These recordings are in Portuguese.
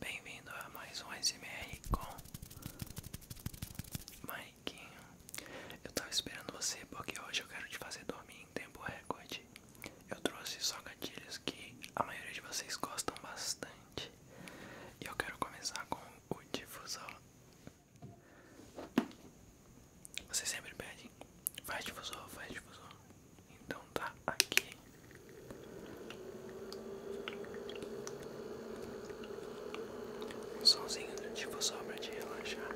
Bem-vindo a mais um SMR com Maiquinho. Eu tava esperando você porque hoje eu quero te fazer dormir em tempo recorde. Eu trouxe só gatilhos que a maioria de vocês gostam bastante. E eu quero começar com o difusor você sempre pede, faz difusor, faz difusor. Então tá aqui. Um somzinho do difusor pra te relaxar.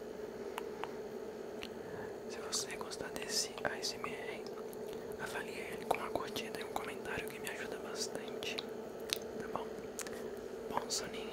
Se você gostar desse ASMR, avalie ele com uma curtida e um comentário que me ajuda bastante. Tá bom? Bom soninho.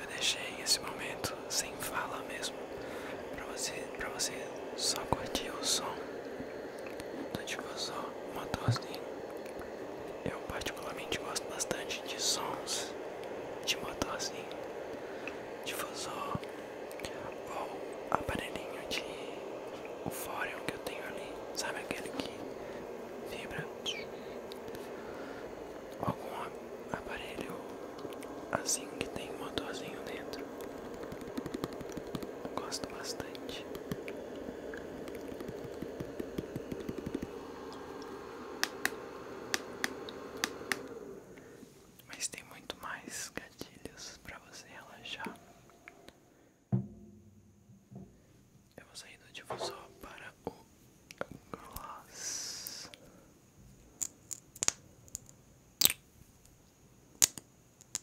Eu deixei esse momento sem fala mesmo, para você, para você só curtir o som. Então tipo motorzinho Eu particularmente gosto bastante de sons de motorzinho, tipo, difusor ou aparelhinho de ufórion que eu tenho ali, sabe aquele que vibra? Algum aparelho assim que tem motorzinho dentro. Gosto bastante. Mas tem muito mais gatilhos para você relaxar. Eu vou sair do difusor para o gloss.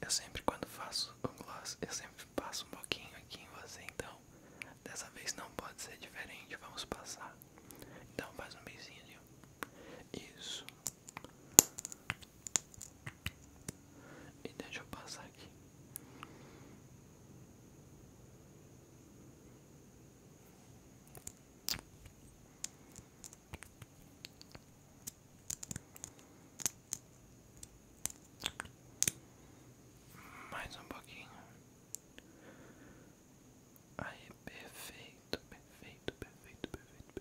Eu sempre quando faço o gloss, eu sempre passo um pouquinho aqui em você, então dessa vez não pode ser diferente, vamos passar. Então faz um beizinho. Isso. E deixa eu passar aqui. Mais um pouquinho. Aí, perfeito, perfeito, perfeito, perfeito,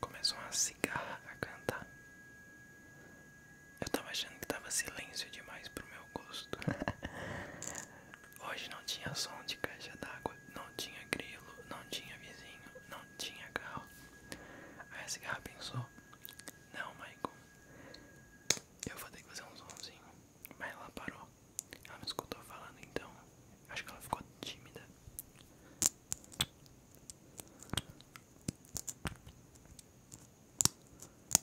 Começou a cigarra a cantar. Eu tava achando que tava silêncio demais pro meu gosto. Hoje não tinha som de caixa d'água, não tinha grilo, não tinha vizinho, não tinha carro. Aí a cigarra pensou: Não, Michael, eu vou ter que fazer um somzinho. Mas ela parou. Ela não escutou falando, então acho que ela ficou tímida.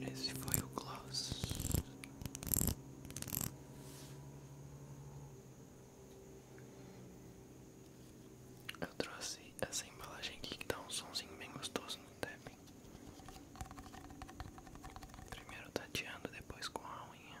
Esse foi o gloss. Eu trouxe essa embalagem aqui que dá um somzinho bem gostoso no tapping. Primeiro tateando, depois com a unha.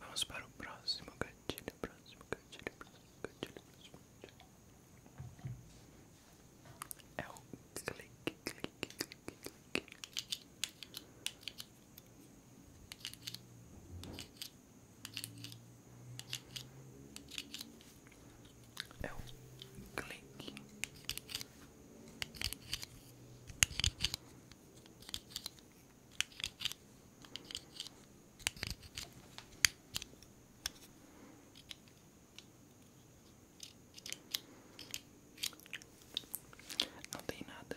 Vamos para o próximo gatilho, próximo gatilho, próximo gatilho, próximo É o clique, clique, clique, clique. É eu clique. Não tem nada.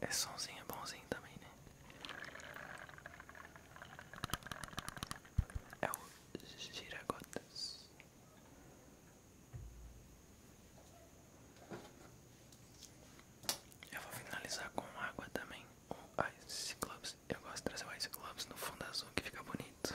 É somzinho bonzinho também, né? É o giragotas. Eu vou finalizar com água também o Ice Eu gosto de trazer o Ice no fundo azul que fica bonito.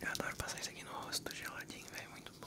Eu adoro passar isso aqui no rosto geladinho, velho, muito bom.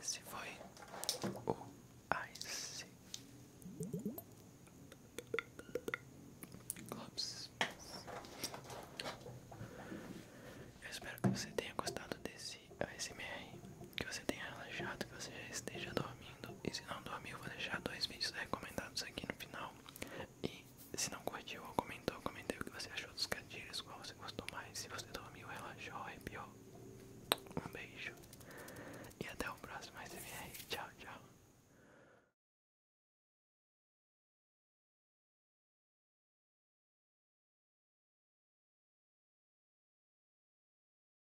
Esse foi o Ice Glops. espero que você tenha gostado desse ASMR que você tenha relaxado, que você já esteja dormindo. E se não dormiu, vou deixar dois vídeos recomendados aqui no final. E se não curtiu ou comentou, comentei o que você achou dos gatilhos, qual você gostou mais, se você dormiu, relaxou, arrepiou. Um beijo e até o próximo SMR. Tchau, tchau.